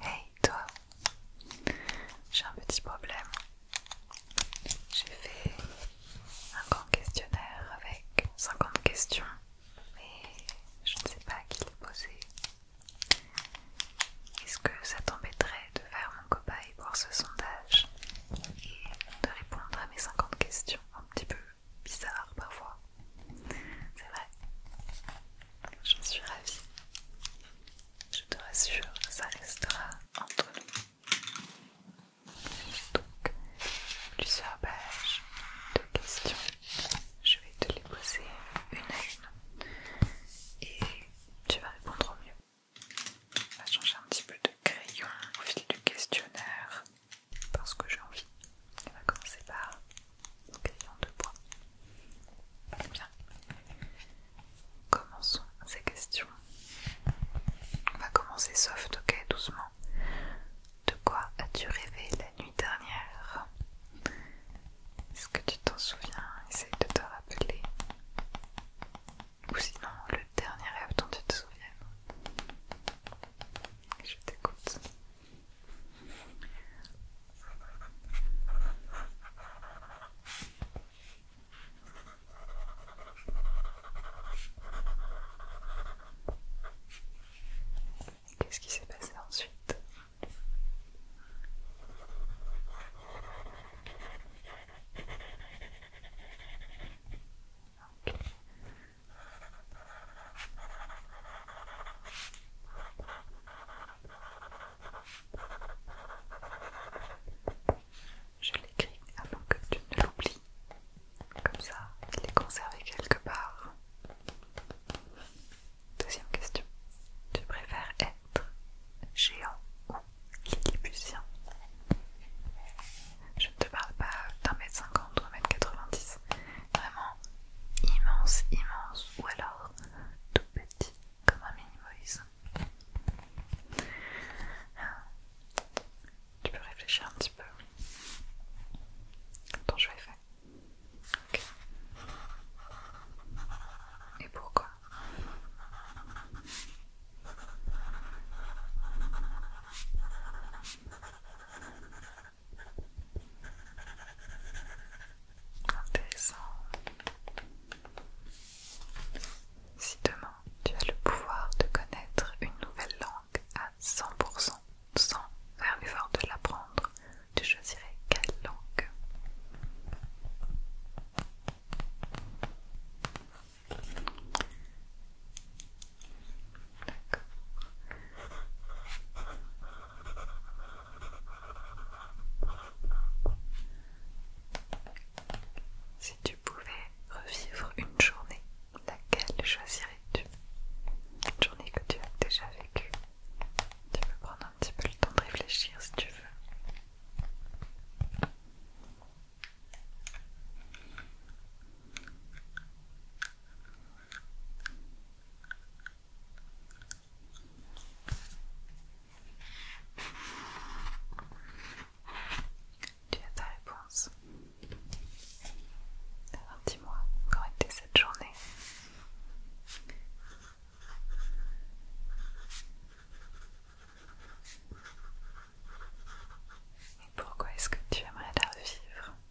Hey toi, j'ai un petit problème. J'ai fait un grand questionnaire avec 50 questions, mais je ne sais pas à qui les poser. Est-ce que ça t'embêterait de faire mon copain pour ce sondage et de répondre à mes 50 questions un petit peu bizarre parfois. C'est vrai. J'en suis ravie. Je te rassure, ça restera entre nous. Donc, plusieurs pages de questions. Je vais te les poser une à une. Et tu vas répondre au mieux. On va changer un petit peu de crayon au fil du questionnaire parce que j'ai envie. On va commencer par un deux de bois. Bien. Commençons ces questions. On va commencer soft, ok, doucement. De quoi as-tu rêvé la nuit dernière Est-ce que tu t'en souviens Essaye de te rappeler. Ou sinon, le dernier rêve dont tu te souviens. Je t'écoute. Qu'est-ce qui s'est passé ensuite je l'écris avant que tu ne l'oublies. Comme ça, il est conservé quelque part. Deuxième question. Tu préfères être géant ou lilliputien Je ne te parle pas d'un mètre cinquante ou un mètre quatre-vingt-dix vraiment immense, immense, ou alors tout petit comme un mini voice Tu peux réfléchir un petit peu. Attends, je vais fait. Et pourquoi Intéressant. Si demain tu as le pouvoir de connaître une nouvelle langue à 100% sans faire l'effort de l'apprendre, tu choisirais quelle langue si tu pouvais revivre une journée, laquelle choisirais-tu Une journée que tu as déjà vécue. Tu peux prendre un petit peu le temps de réfléchir si tu veux. Tu as ta réponse. Alors dis-moi, comment était cette journée Et pourquoi est-ce que tu aimerais la revivre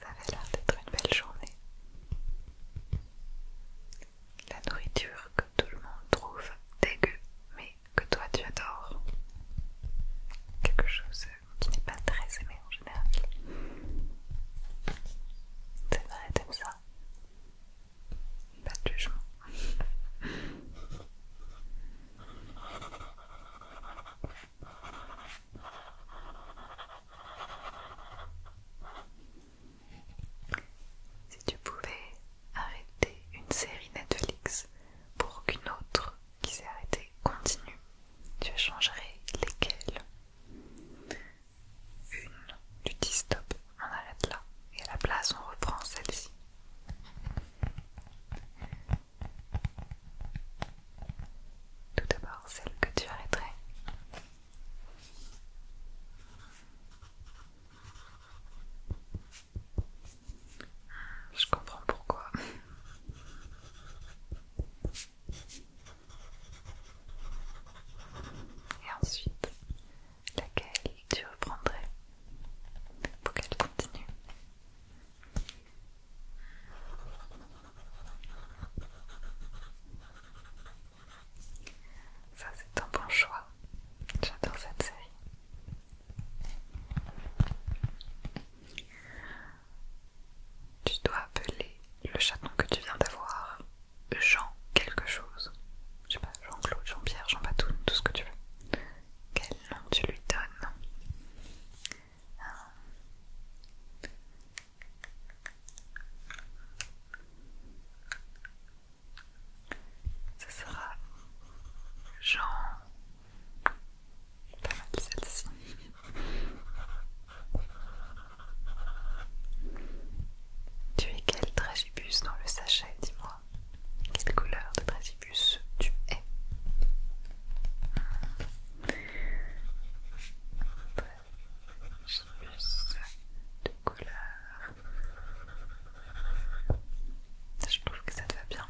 Ça avait l'air d'être une belle journée. La nourriture que tout le monde trouve dégueu, mais que toi tu adores. Quelque chose qui n'est pas très aimé en général. C'est vrai, t'aimes ça Pas de jugement. Si tu pouvais arrêter une série Netflix pour qu'une autre qui s'est arrêtée continue, tu changerais lesquelles Une, du dis stop, on arrête là, et à la place on reprend celle-ci. Tout d'abord, celle que tu arrêterais. Je comprends pourquoi. Et ensuite, laquelle tu reprendrais pour qu'elle continue ça, c'est un bon choix. J'adore cette série. Tu dois appeler le chaton que tu viens d'avoir Jean quelque chose. Je sais pas, Jean-Claude, Jean-Pierre, Jean-Batoune, tout ce que tu veux. Quel nom tu lui donnes ce sera Jean pas mal celle-ci. Tu es quel tragibus dans le sachet, dis-moi Quelle couleur de tragibus tu es plus de couleurs. Je trouve que ça te va bien.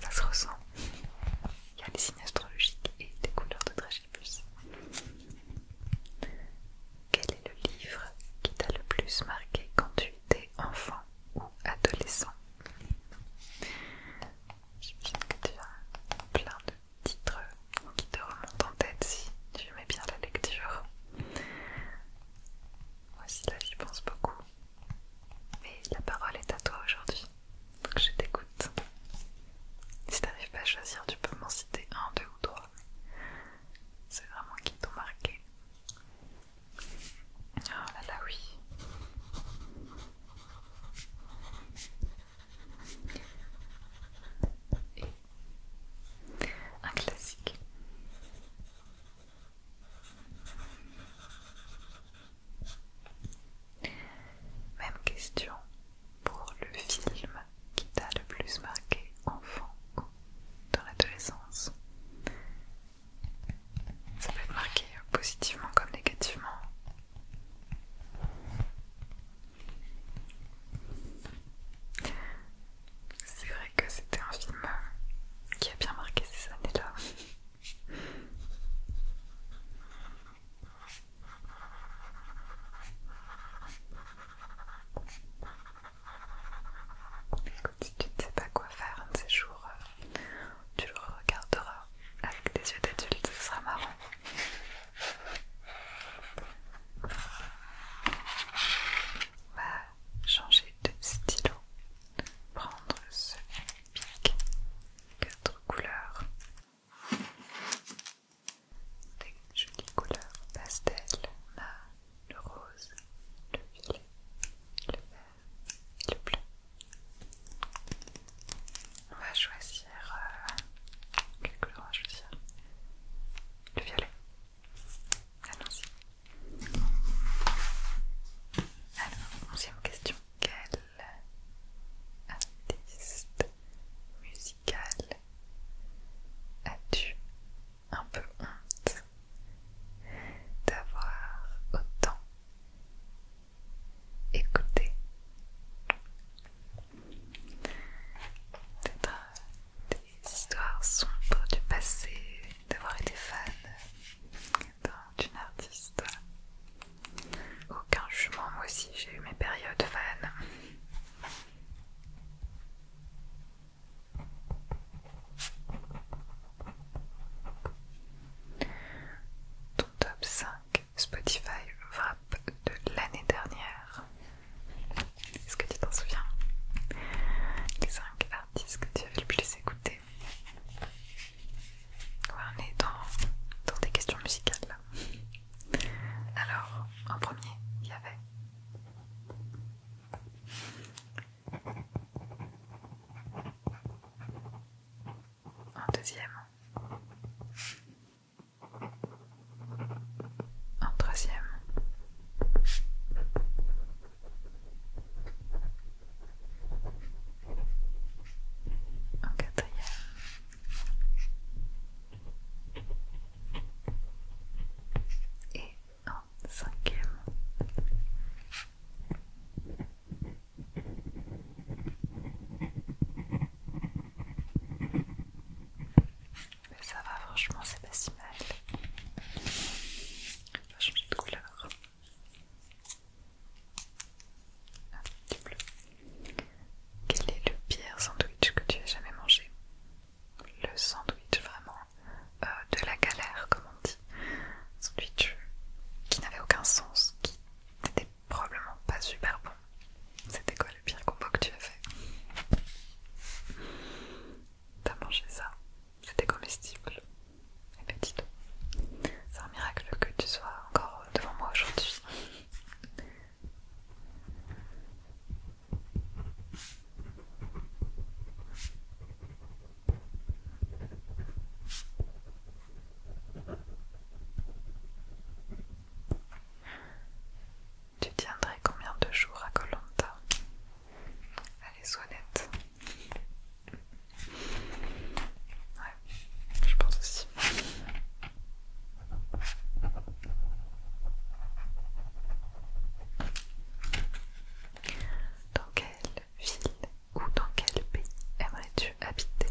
Ça se ressent. Il y a les signes astrologiques et des couleurs de Dragibus. Quel est le livre qui t'a le plus marqué quand tu étais enfant ou adolescent J'imagine que tu as plein de titre qui te remonte en tête si tu aimais bien la lecture. Moi aussi là j'y pense beaucoup. Mais la parole est à toi aujourd'hui, donc je t'écoute. Si t'arrives pas à choisir, tu peux m'en citer un, deux ou trois. C'est vraiment qui t'ont marqué. Oh là là oui. Et un classique. Même question pour le film qui t'a le plus marqué enfant ou dans l'adolescence. Ça peut être marqué positivement comme négativement. C'est vrai que c'était un film qui a bien marqué ces années-là. Écoute, si tu ne sais pas quoi faire un de ces jours, euh, tu le regarderas avec des yeux d'adulte, ce sera marrant. On va changer de stylo, prendre ce pic, quatre couleurs, des jolies couleurs pastel. On le rose, le violet, le vert et le bleu. On va choisir. Euh, quelle couleur on va choisir Le violet. Allons-y. Alors, onzième question. Quel artiste musical as-tu un peu honte d'avoir autant écouté peut des histoires sombres du passé, d'avoir été fan d'une artiste. Aucun jugement, moi aussi j'ai eu mes périodes fan. Ton top 5 Spotify rap de l'année dernière. Est-ce que tu t'en souviens Les 5 artistes que tu avais le plus écoutés. on est dans, dans des questions musicales là. Alors, en premier, il y avait. En deuxième, en troisième. en quatrième. Et en cinquième. Mais ça va, franchement, c'est pas si mal. On changer de couleur. Ah, bleu. Quel est le pire sandwich que tu aies jamais mangé Le sandwich vraiment euh, de la galère, comme on dit. Sandwich qui n'avait aucun sens, qui n'était probablement pas super bon. C'était quoi le pire combo que tu as fait T'as mangé ça C'était comestible. Eh ben c'est un miracle que tu sois encore devant moi aujourd'hui. Tu tiendrais combien de jours à Colanta Allez, sois nette. Ouais, je pense aussi. Dans quelle ville ou dans quel pays aimerais-tu habiter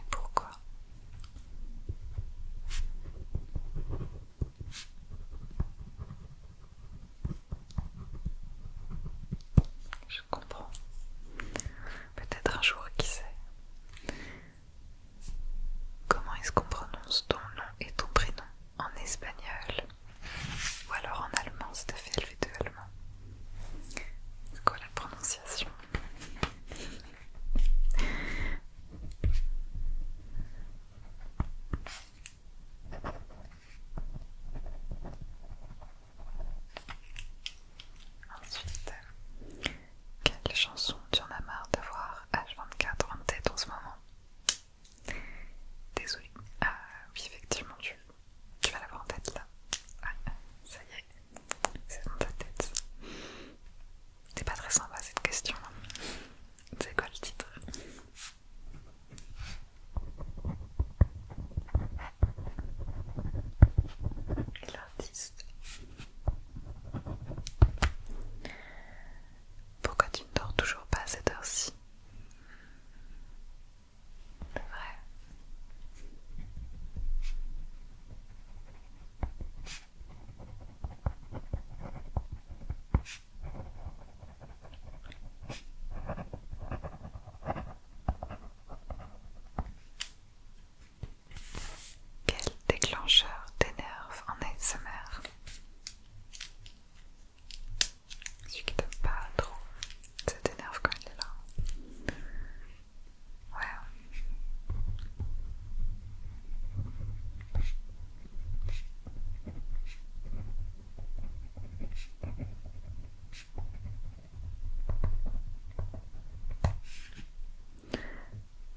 et pourquoi je comprends. Peut-être un jour, qui sait. Comment est-ce qu'on prononce ton nom et ton prénom en espagnol Ou alors en allemand, c'est à fait LV2 allemand C'est quoi la prononciation Ensuite, quelle chanson tu en as marre d'avoir H24 en tête en ce moment Désolée. Ah, oui, effectivement, tu, vas l'avoir en tête là. Ah, ah, ça y est, c'est dans ta tête. C'est pas très sympa cette question. C'est quoi le titre l'artiste Pourquoi tu ne dors toujours pas à cette heure-ci quel déclencheur t'énerve en ASMR Celui qui t'aime pas trop, ça t'énerve quand il est là. Ouais.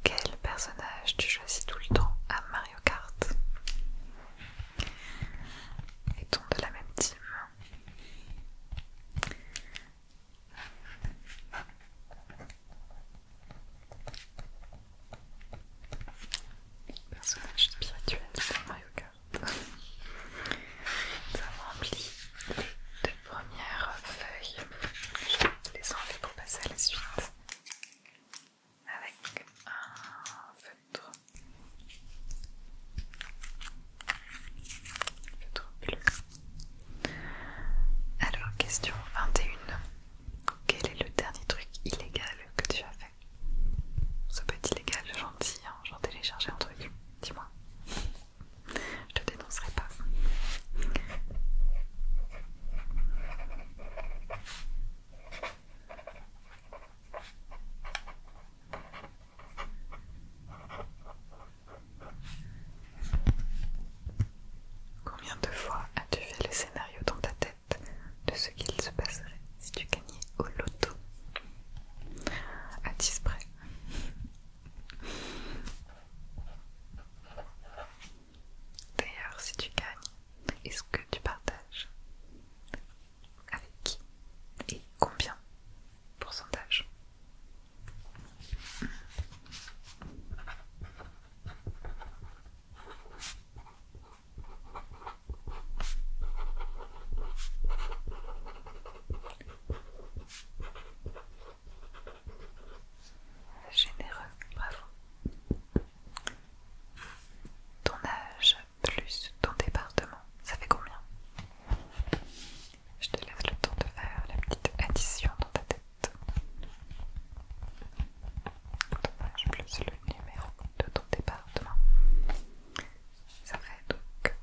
Quel personnage tu choisis tout le temps à Mario Kart Est-on de la même team Personnage spirituel de Mario Kart. Ça Nous avons rempli les deux premières feuilles. Je les enlever pour passer à la suite. Avec un feutre. Feutre bleu. Alors, question 21. Quel est le dernier truc illégal que tu as fait ce Ça peut être gentil, j'en hein. téléchargeais un truc. Dis-moi. Je te dénoncerai pas. Combien de fois as-tu fait le scénario dans ta tête de ce qu'il se passerait si tu gagnais au loto à près. D'ailleurs, si tu gagnes, est-ce que tu partages Avec qui Et combien Pourcentage Généreux, bravo. Ton âge plus ton département, ça fait combien Je te laisse le temps de faire la petite addition dans ta tête. Ton âge plus le numéro de ton département. Ça vrai donc.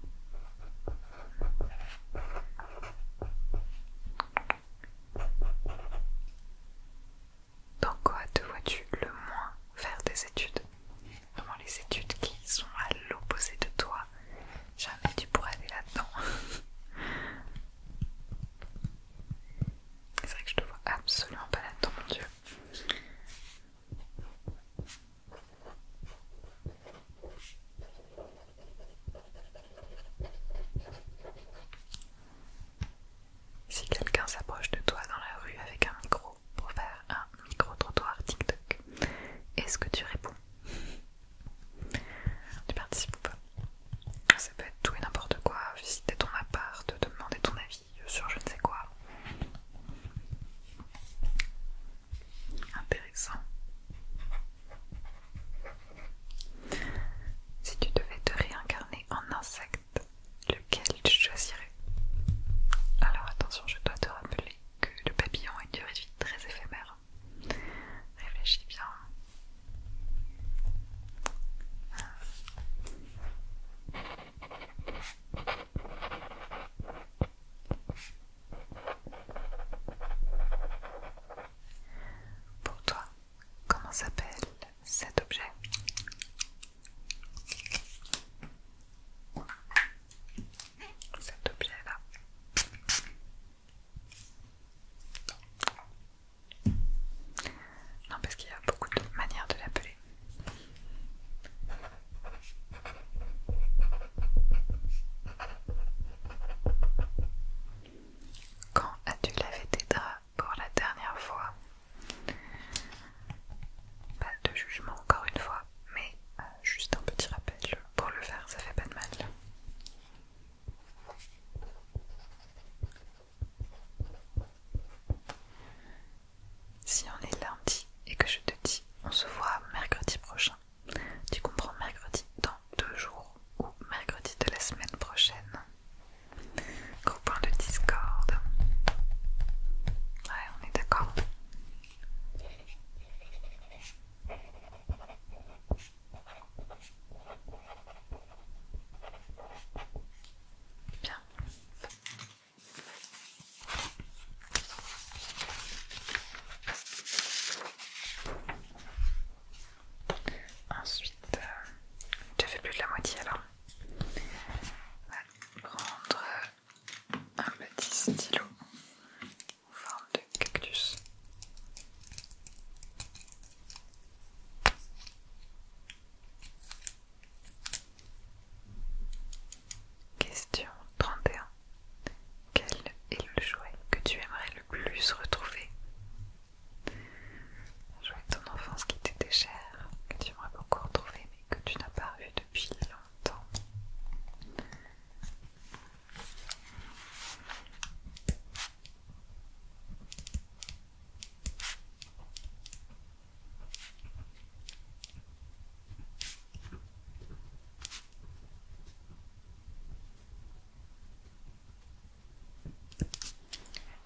Dans quoi te vois-tu le moins faire des études Vraiment les études qui sont à l'opposé de toi. Jamais tu pourrais aller là-dedans. C'est vrai que je te vois absolument pas là-dedans, mon dieu. Si quelqu'un s'approche de toi dans la rue avec un micro pour faire un micro-trottoir TikTok, est-ce que tu réponds Tu participes ou pas Ça peut être tout et n'importe quoi, visiter ton appart, te demander ton avis sur je ne sais quoi. Intéressant. Si tu devais te réincarner en insecte, lequel tu choisirais Alors attention, je dois te rappeler que le papillon a une durée de vie très éphémère. Réfléchis bien. Pour toi, comment s'appelle cet objet Cet objet-là. Non, parce qu'il y a beaucoup de manières de l'appeler. Quand as-tu lavé tes draps pour la dernière fois Pas de jugement encore une fois, mais euh, juste un petit rappel pour le faire, ça fait pas de mal. Si on est lundi et que je te dis on se voit mercredi prochain, tu comprends mercredi dans deux jours ou mercredi de la semaine prochaine. point de Discord. Ouais, on est d'accord. Bien. Ensuite, euh, je ne fais plus de la moitié alors. On va prendre un petit stylo en forme de cactus. Question 31. Quel est le jouet que tu aimerais le plus retrouver Un jouet de ton enfance qui t'était cher, que tu aimerais beaucoup retrouver mais que tu n'as pas eu depuis longtemps.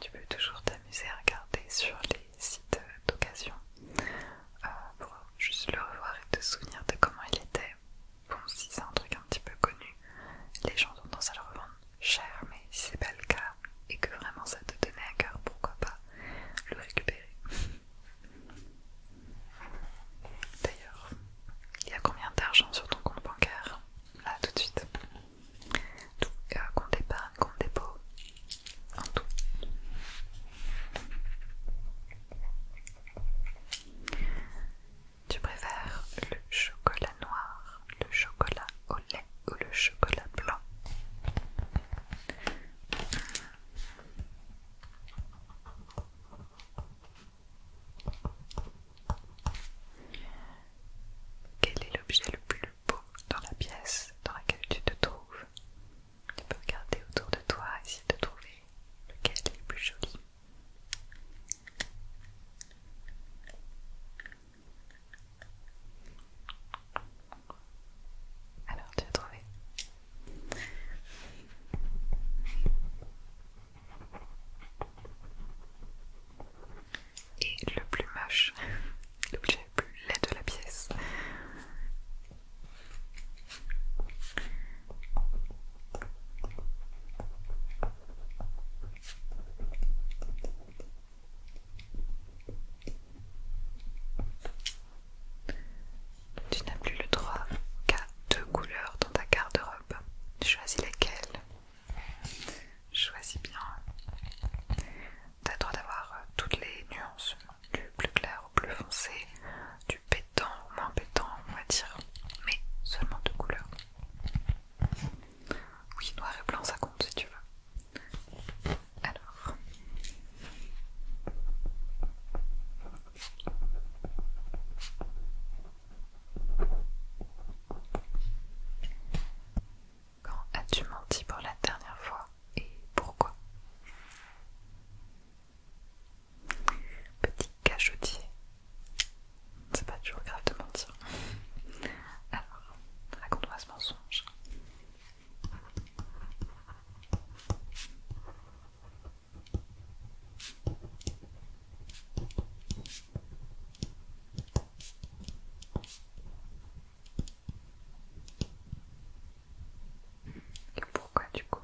Tu peux toujours t'amuser à regarder sur les sites d'occasion euh, pour juste le revoir et te souvenir de comment il était. Bon, si c'est un truc un petit peu connu, les gens ont tendance à le revendre cher, mais si c'est pas le cas et que vraiment ça te tenait à cœur, pourquoi pas le récupérer D'ailleurs, il y a combien d'argent sur ton compte bancaire Là, tout de suite. Tout, cas euh, compte épargne, compte dépôt, en tout. Tu préfères le chocolat noir, le chocolat au lait ou le chocolat blanc quel est l'objet le plus beau dans la pièce dans laquelle tu te trouves Tu peux regarder autour de toi, et essayer de trouver lequel est le plus joli. Alors, tu as trouvé Et le plus moche, l'objet le plus laid de la pièce. Tu n'as plus le droit qu'à deux couleurs dans ta garde-robe. Choisis lesquelles Choisis bien. Tu as le droit d'avoir euh, toutes les nuances, du plus clair au plus foncé, du pétant au moins pétant, on va dire, mais seulement deux couleurs. Oui, noir et blanc, ça compte si tu veux. Alors. Quand as-tu menti pour la dernière fois et pourquoi Petit cachotier. C'est pas toujours grave de mentir. Alors, raconte-moi ce mensonge pourquoi du coup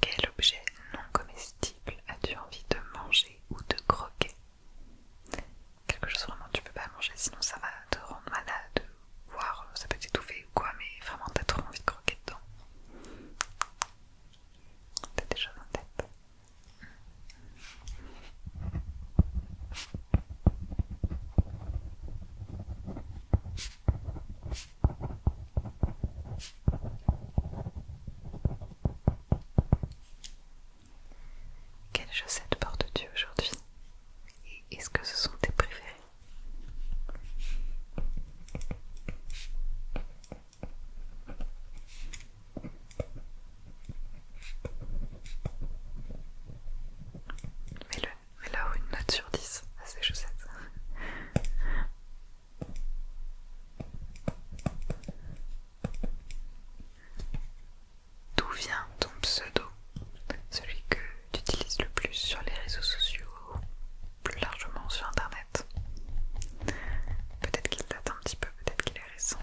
Quel objet non comestible as-tu envie de manger ou de croquer. Quelque chose vraiment tu peux pas manger, sinon ça va te rendre malade, voire euh, ça peut t'étouffer ou quoi, mais vraiment t'as trop envie de croquer dedans. T'as des choses en tête. Quelles chaussettes portes-tu aujourd'hui Et est-ce que ce sont tes préférées Mets-le, là une note sur 10 à ces chaussettes. D'où vient ton pseudo Celui que tu utilises le plus sur les réseaux sociaux plus largement sur internet Peut-être qu'il date un petit peu, peut-être qu'il est récent.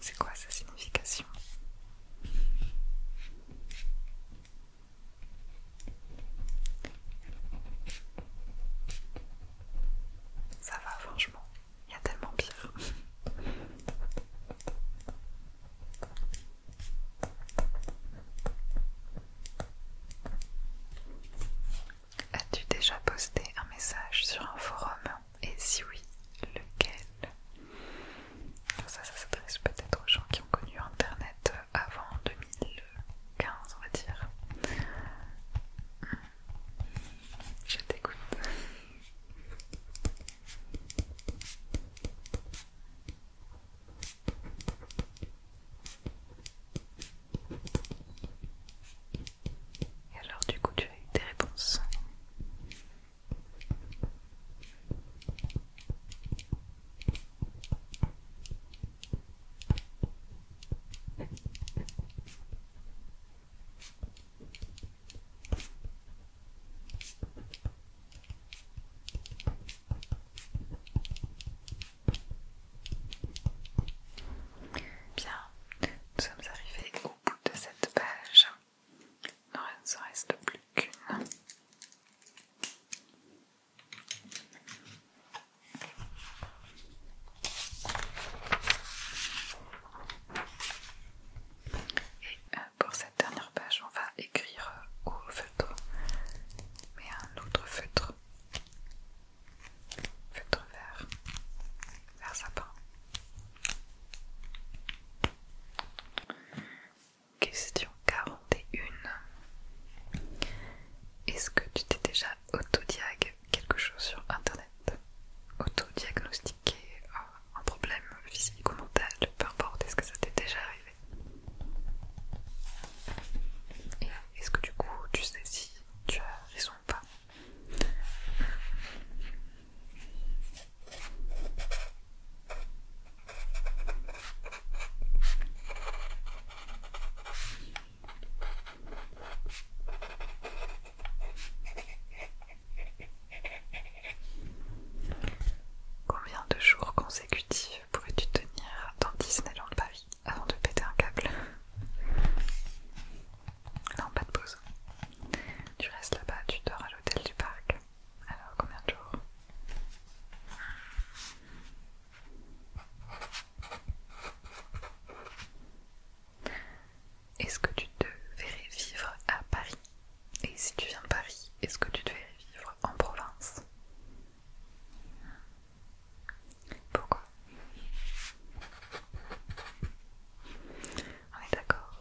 C'est quoi sa signification Ça va, franchement il y a tellement pire. As-tu déjà posté un message sur un forum Et si oui, lequel Ça, ça s'adresse peut-être aux gens qui ont connu Internet euh, avant 2015, on va dire. Hmm. Je t'écoute. Et alors du coup tu as eu des réponses Bien, nous sommes arrivés au bout de cette page. Il ne reste plus qu'une. Et euh, pour cette dernière page, on va écrire euh, au feutre, mais un autre feutre, feutre vert, vert sapin. Question 41. Est-ce que tu t'es déjà autodiag quelque chose sur internet, auto euh, un problème physique ou mental, peu importe, est-ce que ça t'est déjà arrivé est-ce que du coup tu sais si tu as raison ou pas Combien de jours consécutifs pourrais-tu tenir dans Disneyland Paris avant de péter un câble Non, pas de pause. Tu restes là-bas, tu dors à l'hôtel du parc. Alors, combien de jours est-ce que tu te verrais vivre à Paris Et si tu viens de Paris, est-ce que tu te verrais vivre en province Pourquoi On est d'accord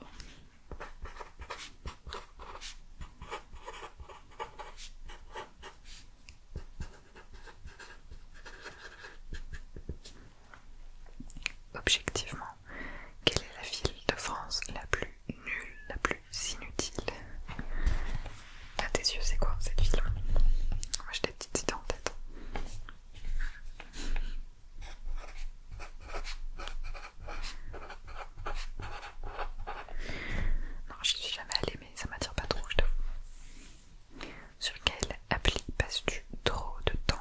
objectivement, quelle est la ville de France la plus nulle, la plus inutile A tes yeux, c'est quoi cette ville Moi, j'ai des petites idées en tête. Non, je suis jamais allée, mais ça m'attire pas trop, je t'avoue. Sur quelle appli passes-tu trop de temps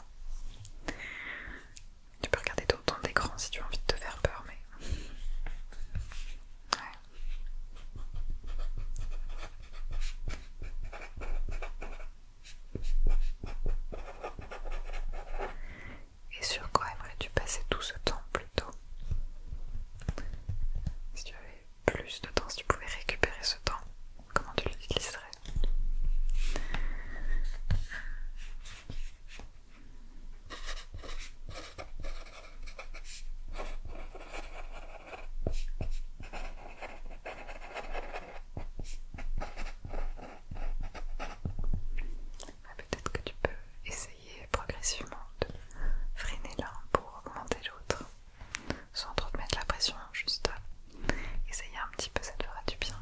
Tu peux regarder d'autres d'écran si tu as envie de te faire peur, mais. Ouais. Et sur quoi aimerais-tu passer tout ce temps plutôt Si tu avais plus de temps, si tu pouvais récupérer ce temps, comment tu l'utiliserais Peut-être que tu peux essayer progressivement de freiner l'un pour augmenter l'autre sans trop te mettre la pression, hein, juste euh, essayer un petit peu, ça te fera du bien.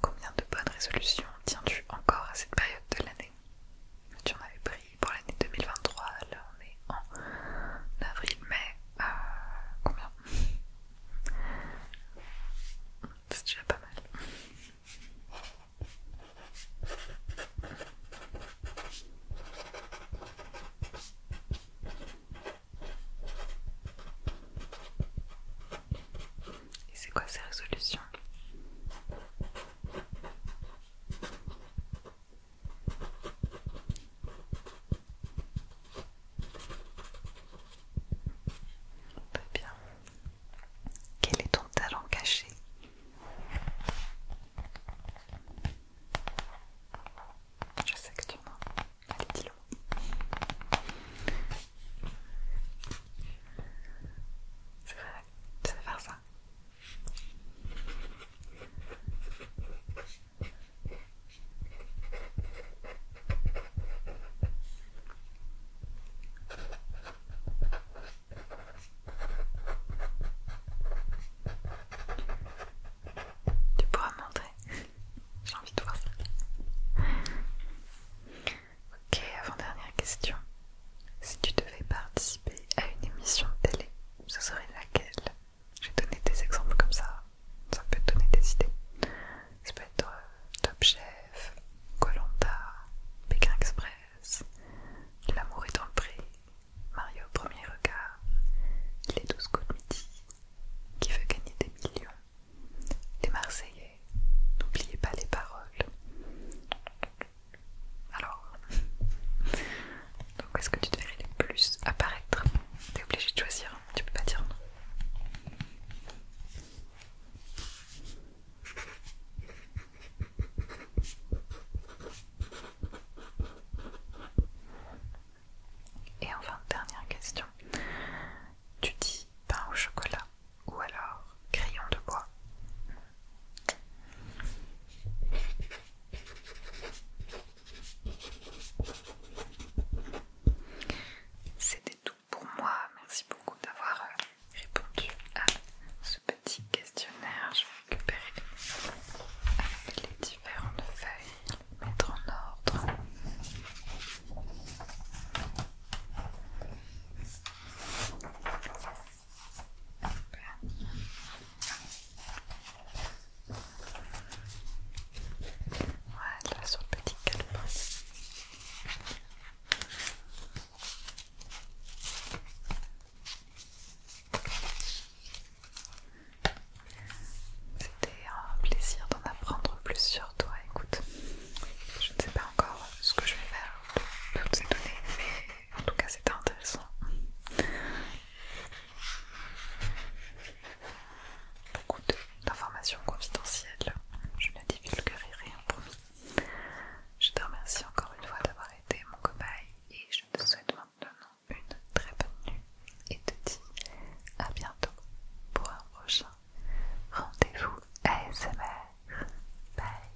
Combien de bonnes résolutions tiens-tu encore à cette période de l'année Tu en avais pris pour l'année 2023, là on est en avril-mai. Euh, combien C'est déjà pas mal. Et c'est quoi sa On peut bien. Quel est ton talent caché je sais que tu mens. Allez, dis-le. C'est vrai, tu vas faire ça. Tu pourras me montrer. J'ai envie de voir ça. Ok, avant-dernière question. Si tu devais participer à une émission de télé, ce serait laquelle j'ai donné des exemples comme ça. Ça peut te donner des idées. Ça peut être euh, Top Chef, Colomba, Pékin Express, L'amour est dans le prix, Mario premier regard, les douze coups de midi, qui veut gagner des millions, les Marseillais, n'oubliez pas les paroles. Alors, donc est-ce que tu devrais les plus apparaître T'es obligé de choisir, hein. tu peux pas dire non. Et enfin, dernière question. Tu dis pain au chocolat ou alors crayon de bois C'était tout pour moi. Merci beaucoup d'avoir euh, répondu à ce petit questionnaire récupérer les différentes feuilles, les mettre en ordre. Voilà, sur le petit calepin. C'était un plaisir d'en apprendre plus sur toi. Écoute, je ne sais pas encore ce que je vais faire de toutes ces données, mais en tout cas, c'était intéressant. Beaucoup d'informations confidentielles, je ne divulguerai rien promis. Je te remercie encore une fois d'avoir été mon cobaye et je te souhaite maintenant une très bonne nuit et te dis à bientôt pour un prochain rendez-vous ASMR. Bye